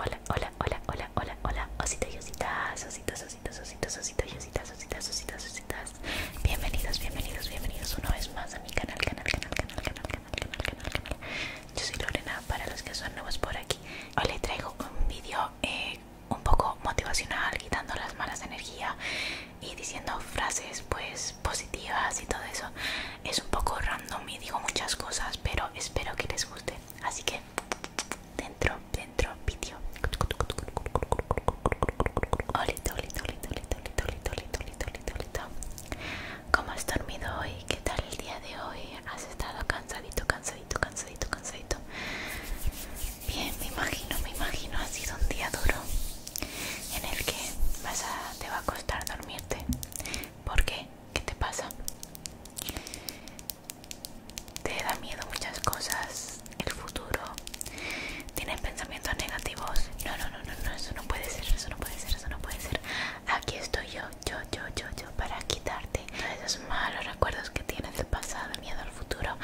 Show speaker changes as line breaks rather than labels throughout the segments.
Hola, hola, hola, hola, hola, hola, ositos y ositas, ositos, ositos, ositos, ositos y ositas, ositas, ositas, ositas. Bienvenidos, bienvenidos, bienvenidos una vez más a mi canal, canal, canal, canal, canal, canal, canal, canal, canal. Yo soy Lorena, para los que son nuevos por aquí. Hoy les traigo un vídeo eh, un poco motivacional, quitando las malas energías y diciendo frases pues positivas y todo eso. Es un poco random y digo muchas cosas, pero espero que les guste. Así que dentro, dentro vídeo. Olito, olito, olito, olito, olito, olito, olito, olito, ¿Cómo has dormido hoy? ¿Qué tal el día de hoy? ¿Has estado cansadito, cansadito, cansadito, cansadito? Bien, me imagino, me imagino, ha sido un día duro en el que vas a, te va a costar dormirte. porque, qué? te pasa? Te da miedo muchas cosas, el futuro, tienes pensamientos negativos. No, no, no, no, eso no puede ser, eso no puede ser, eso no puede ser. Aquí estoy yo, yo, yo, yo, yo, para quitarte esos malos recuerdos que tienes del pasado, miedo al futuro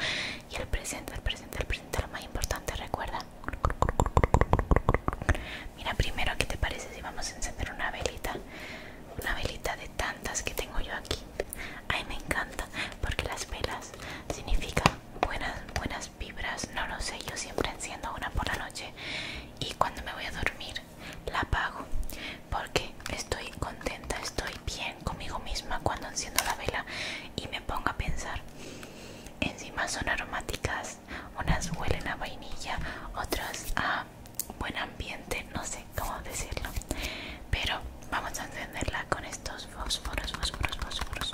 y el presente, el presente, el presente, lo más importante, recuerda Mira, primero, ¿qué te parece si vamos a encender una velita? Una velita de tantas que tengo yo aquí. Ay, me encanta, porque las velas significan buenas, buenas vibras. No lo sé, yo siempre enciendo una por la noche y cuando me voy a dormir la apago, porque estoy contenta, estoy bien conmigo misma cuando enciendo la vela y me pongo a pensar Encima son aromáticas, unas huelen a vainilla, otras a buen ambiente, no sé cómo decirlo. Pero vamos a encenderla con estos fósforos, fósforos, fósforos.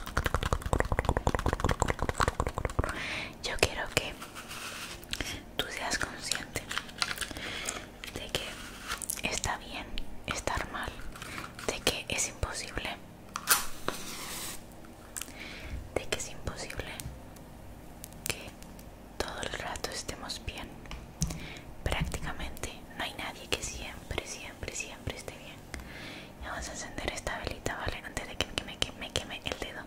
Yo quiero que tú seas consciente de que está bien estar mal, de que es imposible de que es imposible que todo el rato estemos bien. Prácticamente no hay nadie que siempre, siempre, siempre esté bien. Vamos a encender esta velita, ¿vale? Antes de que me queme, me queme el dedo.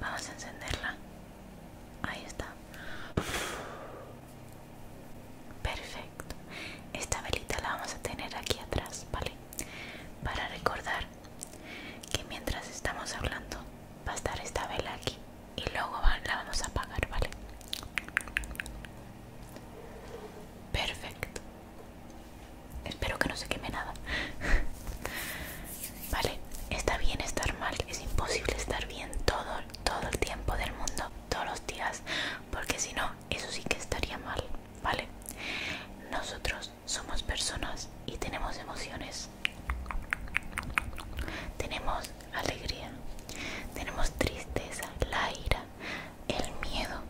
Vamos a encenderla. Ahí está. Perfecto esta velita la vamos a tener aquí atrás vale para recordar que mientras estamos hablando va a estar esta vela aquí y luego la vamos a apagar vale perfecto espero que no se queme nada vale está bien estar mal es imposible estar bien todo todo el tiempo del mundo todos los días porque si no eso sí que estaría mal, ¿vale? Nosotros somos personas y tenemos emociones. Tenemos alegría, tenemos tristeza, la ira, el miedo.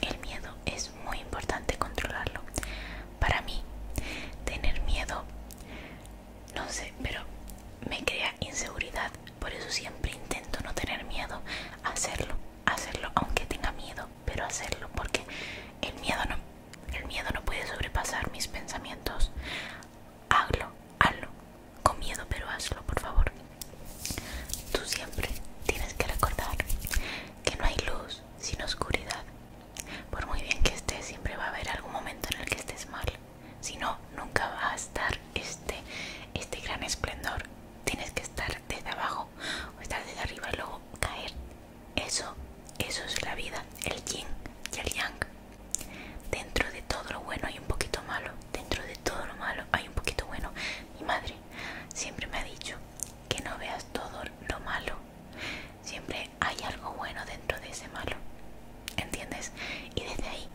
El miedo es muy importante controlarlo. Para mí, tener miedo, no sé, pero me crea inseguridad por eso siempre intento no tener miedo, hacerlo, hacerlo aunque tenga miedo, pero hacerlo porque el miedo no, el miedo no puede sobrepasar mis pensamientos. Hazlo, hazlo, con miedo, pero hazlo, por favor. Tú siempre tienes que recordar que no hay luz sin oscuridad. Por muy bien que estés, siempre va a haber algún momento en el que estés mal. Si no, nunca va a estar este, este gran esplendor tienes que estar desde abajo o estar desde arriba y luego caer. Eso, eso es la vida, el yin y el yang. Dentro de todo lo bueno hay un poquito malo, dentro de todo lo malo hay un poquito bueno. Mi madre siempre me ha dicho que no veas todo lo malo, siempre hay algo bueno dentro de ese malo. ¿Entiendes? Y desde ahí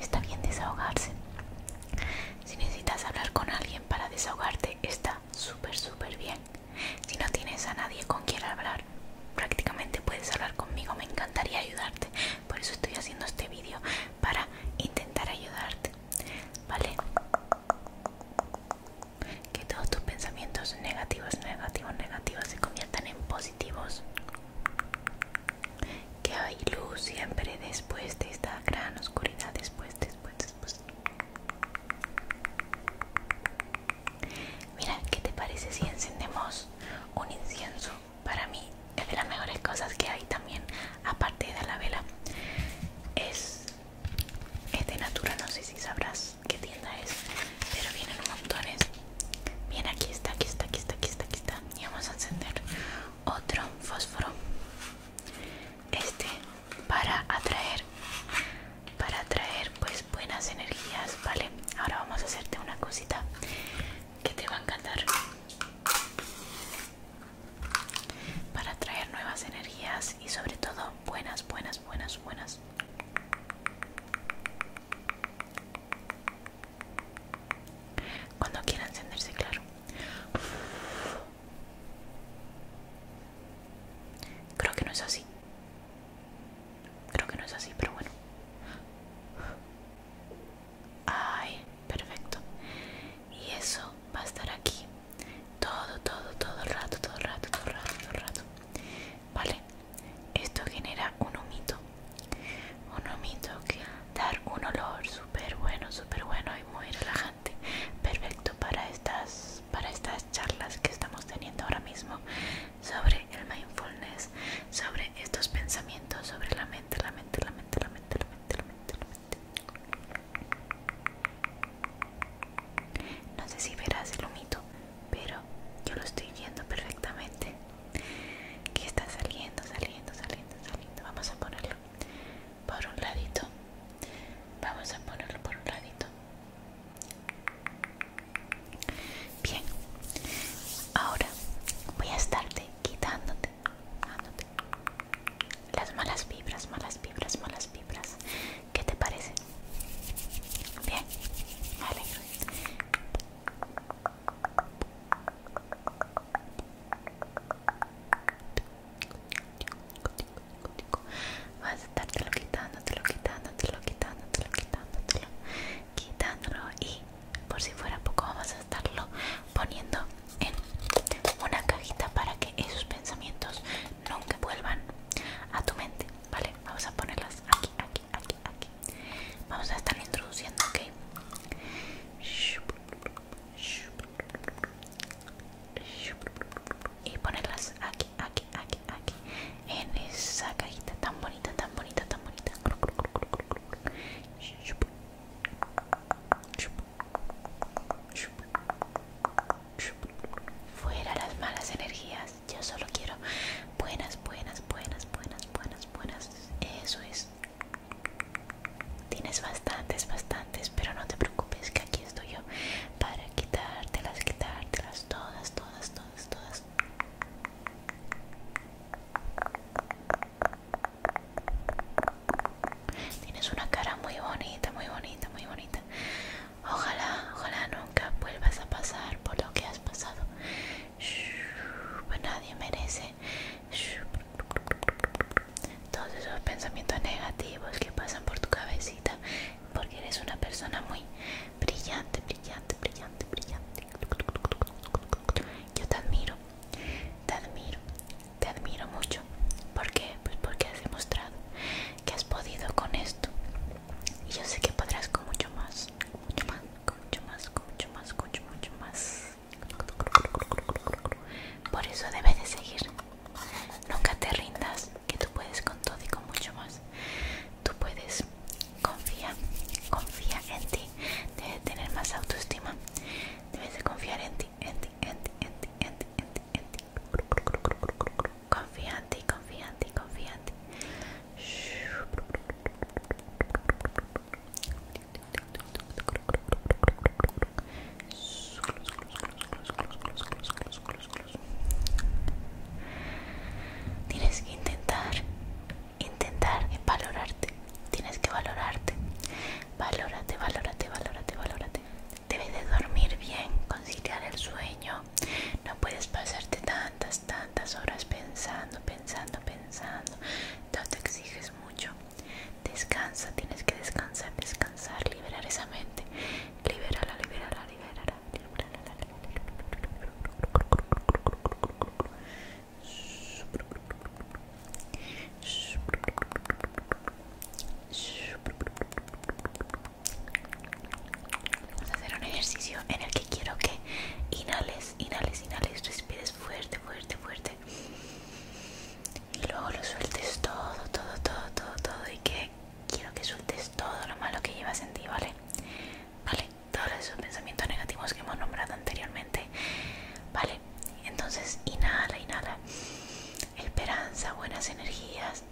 Está bien desahogarse. Si necesitas hablar con alguien para desahogarte, está súper, súper bien. Si no tienes a nadie con quien hablar, prácticamente puedes hablar conmigo. Me encantaría ayudarte. Por eso estoy haciendo este vídeo para intentar ayudarte. ¿Vale? Que todos tus pensamientos negativos, negativos, negativos se conviertan en positivos que hay luz siempre después de esta gran oscuridad después después después mira qué te parece si encendemos un incienso para mí es de las mejores cosas que hay también aparte de la vela es de natura no sé si sabrás qué tienda es pero vienen montones bien aquí está aquí está aquí está aquí está aquí está y vamos a encender otro fósforo este para atraer para atraer pues buenas energías vale ahora vamos a hacerte una cosita que te va a encantar para atraer nuevas energías y sobre todo buenas buenas buenas buenas cuando quiera encenderse, claro. Creo que no es así. Creo que no es así, pero bueno. Ay, perfecto. Y eso va a estar aquí todo, todo, todo rato, todo el rato, todo el rato, todo el rato. Vale, esto genera un humito un humito que dar un olor súper bueno, súper bueno y muy relajante, perfecto para estas, para estas charlas que estamos teniendo ahora mismo sobre el mindfulness, sobre estos pensamientos, sobre la mente, la mente, la mente, la mente, la mente, No sé si verás el humito, pero yo lo estoy viendo perfectamente que está saliendo, saliendo, saliendo, saliendo. Vamos a ponerlo por un ladito. Vamos a ponerlo por un ladito. Bien. Ahora voy a estarte quitándote, las malas vibras, malas vibras, malas vibras. ¿Qué te parece? Bien. Vas a quitando, lo quitando, y por si fuera poco vamos a estarlo poniendo en una cajita para que esos pensamientos nunca vuelvan a tu mente, ¿vale? Vamos a ponerlas aquí, aquí, aquí, Vamos a estar introduciendo, ¿ok? Y ponerlas aquí, aquí, aquí, aquí. En esa cajita tan bonita, tan bonita, tan bonita. Fuera las malas energías. Yo solo quiero Buenas, buenas, buenas, buenas, buenas, buenas. Eso es. Tienes bastantes, bastantes, pero no te preocupes que aquí estoy yo para quitártelas, quitártelas todas, todas, todas, todas. Tienes una cara muy bonita, muy bonita, muy bonita. Ojalá, ojalá nunca vuelvas a pasar por lo que has pasado. Pues nadie merece todos esos pensamientos negativos que pasan por tu cabecita porque eres una persona muy brillante, brillante, brillante, brillante. Yo te admiro, te admiro, te admiro mucho. porque Pues porque has demostrado que has podido con esto. Y yo sé que podrás con mucho más, mucho más, más, mucho más, mucho, mucho más. Por eso debes de seguir. Nunca te rindas, que tú puedes con todo y con mucho más. Tú puedes, confía, confía en ti. Debes tener más autoestima. Debes de confiar en ti, en ti, en ti, en ti, en ti, en ti, en ti. Confía en ti, confía en ti, confía en ti. Tienes que intentar, intentar valorarte. Tienes que valorarte. Valórate, valórate, valórate, valórate. Debes de dormir bien, conciliar el sueño, no, puedes pasarte tantas, tantas horas pensando, pensando, pensando. No te exiges mucho. Descansa, tienes que descansar, descansar, liberar esa mente. Liberala, libérala, libérala, Vamos a hacer un ejercicio en el que quiero que inhales, inhales, inhales, respires fuerte, fuerte, fuerte. Y luego lo sueltes todo, todo, todo, todo, todo. Y que quiero que sueltes todo lo malo que llevas en ti, ¿vale? Vale, todos esos pensamientos negativos que hemos nombrado anteriormente. Vale, entonces inhala, inhala. Esperanza, buenas energías,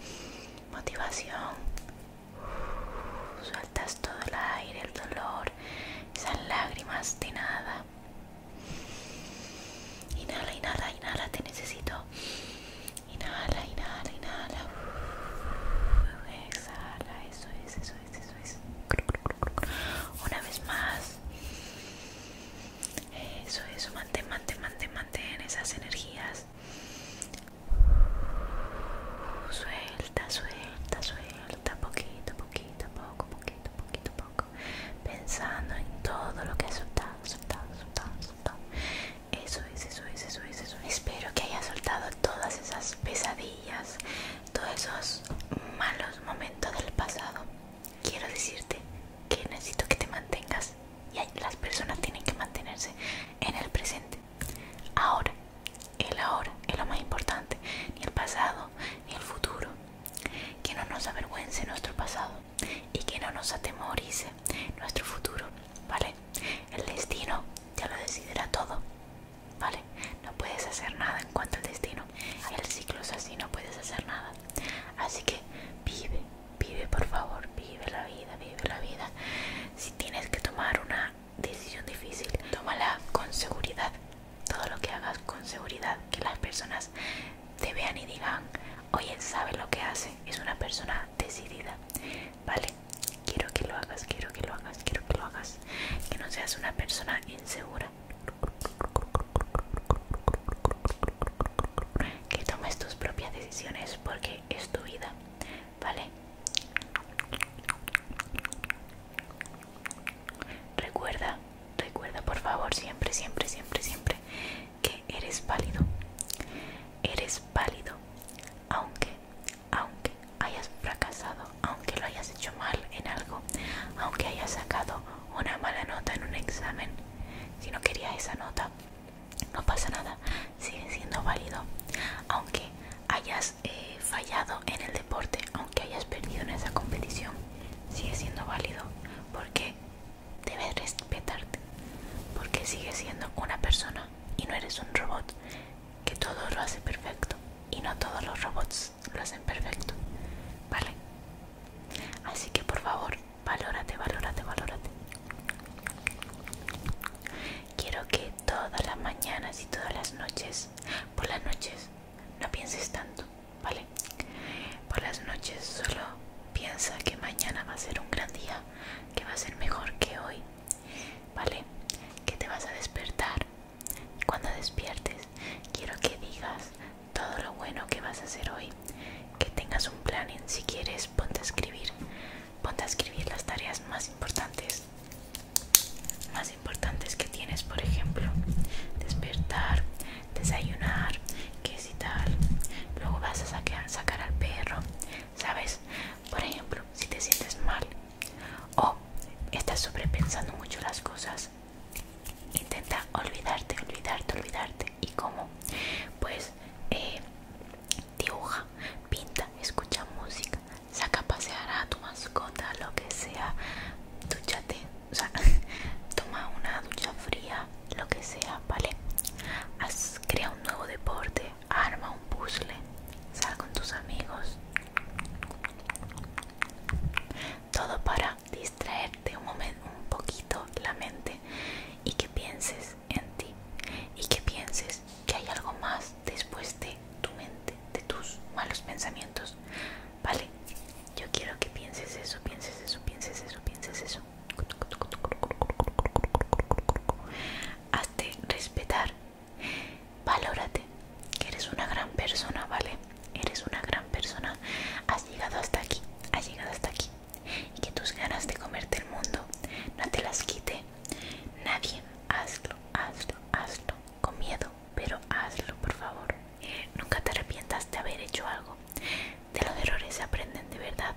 motivación, Sueltas todo el aire, el dolor, esas lágrimas de nada. Inhala, inhala, inhala, te necesito. Inhala, inhala, inhala. Exhala, eso es, eso es, eso es. Una vez más. Eso, eso, mantén, mantén, mantén, mantén esas energías. Suelta, suelta, suelta, poquito, poquito, poco, poquito, poquito, poco. Pensando en todo lo que has soltado, soltado, soltado, Eso es, eso es, eso es, eso es. Espero que hayas soltado todas esas pesadillas, todos esos malos momentos del pasado. Quiero decirte que necesito que te mantengas y las personas tienen que mantenerse en el presente. Ahora, el ahora es lo más importante, ni el pasado ni el futuro. Que no nos avergüence nuestro pasado y que no nos atemorice nuestro futuro, ¿vale? El destino ya lo decide todo, ¿vale? No puedes hacer nada en cuanto al destino. El ciclo es así, no puedes hacer nada. Así que vive, vive por favor, vive la vida vive la vida. Si tienes que tomar una decisión difícil, tómala con seguridad. Todo lo que hagas con seguridad, que las personas te vean y digan, oye, sabe lo que hace, es una persona decidida. Vale, quiero que lo hagas, quiero que lo hagas, quiero que lo hagas. Que no seas una persona insegura. Que tomes tus propias decisiones porque es tu vida. ¿vale? Recuerda, recuerda por favor siempre, siempre, siempre, siempre que eres válido. Eres válido. Aunque, aunque hayas fracasado, aunque lo hayas hecho mal en algo, aunque hayas sacado una mala nota en un examen, si no querías esa nota, no pasa nada, sigue siendo válido. Aunque hayas eh, fallado en el deporte, aunque hayas perdido en esa competición, sigue siendo válido porque debes respetarte, porque sigues siendo una persona y no eres un robot que todo lo hace perfecto y no todos los robots lo hacen perfecto, ¿vale? Así que por favor Valórate, valórate, valórate. Quiero que todas las mañanas y todas las noches, por las noches, no pienses tanto, ¿vale? Por las noches solo piensa que mañana va a ser un gran día, que va a ser mejor que hoy, ¿vale? Que te vas a despertar. Y cuando despiertes, quiero que digas todo lo bueno que vas a hacer hoy, que tengas un plan si quieres ponte a escribir. Ponte a escribir las tareas más importantes. Más importantes que tienes, por ejemplo, despertar, desayunar, qué Luego vas a sacar, al perro, ¿sabes? Por ejemplo, si te sientes mal o estás sobrepensando mucho las cosas, intenta olvidarte, olvidarte, olvidarte. ¿Y cómo? Pues eh, dibuja, pinta, escucha música, saca a pasear a tu mascota, lo que sea, duchate, o sea, toma una ducha fría, lo que sea, ¿vale? crea un nuevo deporte, arma un puzzle, sal con tus amigos. Todo para distraerte un momento, un poquito la mente y que pienses en ti y que pienses que hay algo más después de tu mente, de tus malos pensamientos. Vale, yo quiero que pienses eso, pienses eso, pienses eso, pienses eso. Hazte respetar, valórate, que eres una gran persona, ¿vale? Eres una gran persona. Has llegado hasta aquí, has llegado hasta aquí y que tus ganas de comerte el mundo no te las quite nadie. Hazlo, hazlo, hazlo, con miedo, pero hazlo, por favor. Nunca te arrepientas de haber hecho algo. De los errores se aprenden de verdad.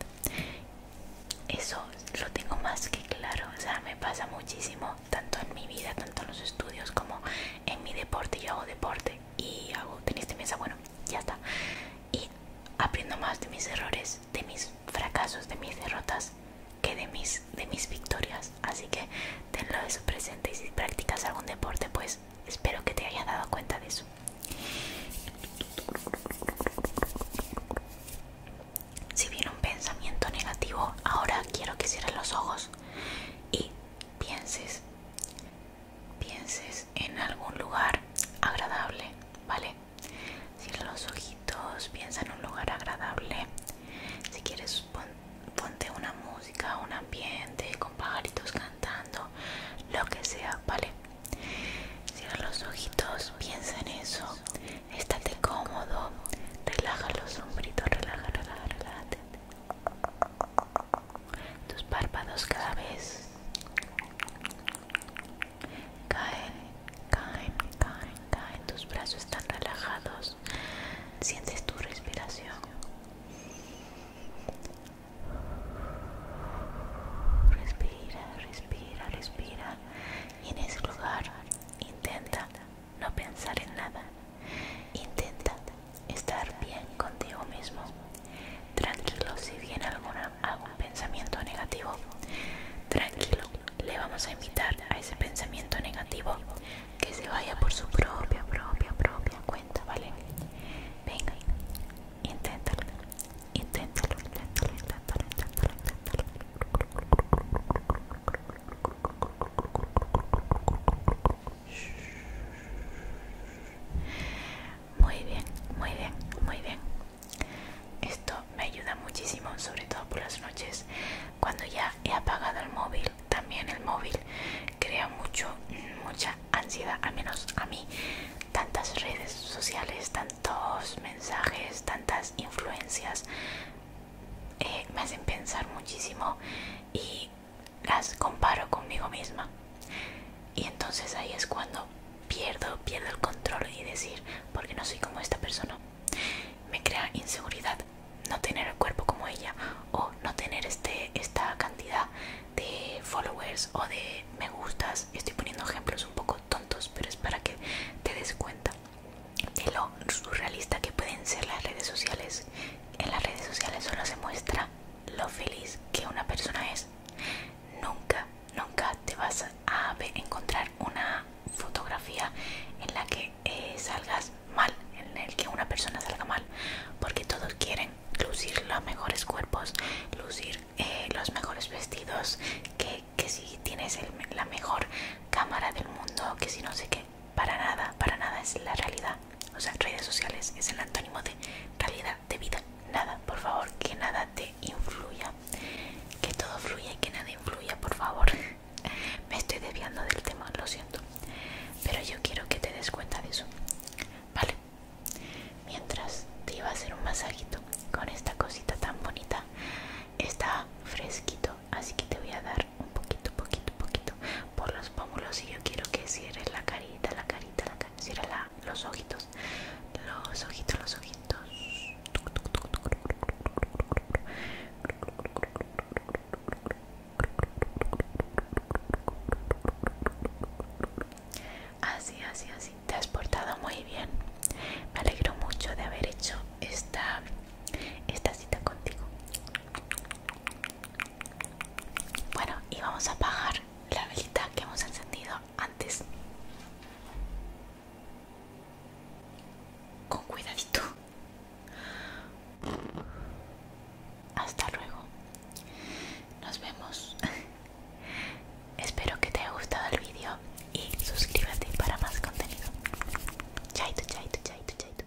Eso lo tengo más que claro. O sea, me pasa muchísimo, tanto en mi vida, tanto en los estudios como en mi deporte. Yo hago deporte y hago tenéis de mesa, bueno, ya está. Aprendo más de mis errores, de mis fracasos, de mis derrotas que de mis, de mis victorias. Así que tenlo eso presente y si practicas algún deporte, pues espero que te hayas dado cuenta de eso. Si viene un pensamiento negativo, ahora quiero que cierres los ojos y pienses pienses en algún lugar agradable, ¿vale? Cierra los ojitos, piensa en un lugar agradable. Si quieres, ponte una música, un ambiente con pajaritos cantando, lo que sea, ¿vale? Cierra los ojitos, piensa en eso, estate cómodo, relaja los hombritos, relaja, relaja, relaja tus párpados cada vez caen, caen, caen, caen, tus brazos están relajados, sientes tu respiración, respira, respira, respira y en ese lugar intenta no pensar en nada, intenta estar bien contigo mismo. Tranquilo si viene alguna, algún pensamiento negativo. Tranquilo, le vamos a invitar a ese pensamiento negativo que se vaya por su propia, propia, propia cuenta, ¿vale? Venga, inténtalo, inténtalo, inténtalo, inténtalo, muy bien, muy bien, muy bien. Esto me ayuda muchísimo, sobre todo por las noches, cuando ya he apagado el móvil. También el móvil crea mucho, mucha ansiedad, al menos a mí. Tantas redes sociales, tantos mensajes, tantas influencias eh, me hacen pensar muchísimo y las comparo conmigo misma y entonces ahí es cuando pierdo pierdo el control y decir porque no soy como esta persona me crea inseguridad no tener el cuerpo como ella o no tener este esta cantidad de followers o de me gustas estoy poniendo ejemplos un poco tontos pero es para que te des cuenta de lo surrealista que pueden ser las redes sociales en las redes sociales solo se muestra lo feliz que una persona es. Nunca, nunca te vas a encontrar una fotografía en la que eh, salgas mal, en el que una persona salga mal, porque todos quieren lucir los mejores cuerpos, lucir eh, los mejores vestidos, que, que si tienes la mejor cámara del mundo, que si no sé qué, para nada, para nada es la realidad. O sea, redes sociales es el antónimo de realidad, de vida. Nada, por favor, que nada te influya. Que todo fluya y que nada influya, por favor. Me estoy desviando del tema, lo siento. Pero yo quiero que te des cuenta de eso. Vale. Mientras te iba a hacer un masajito con esta cosita tan bonita. Está fresquito, así que te voy a dar un poquito, poquito, poquito por los pómulos y yo quiero que cierres la carita, la carita, la carita, los ojitos, los ojitos, los ojitos. Así, así, así. Te has portado muy bien. Me alegro mucho de haber hecho esta, esta cita contigo. Bueno, y vamos a apagar la velita que hemos encendido antes. Con cuidadito. Hasta luego. Nos vemos. Espero que te haya gustado el vídeo y suscríbete para más contenido. Chaito, chaito, chaito, chaito.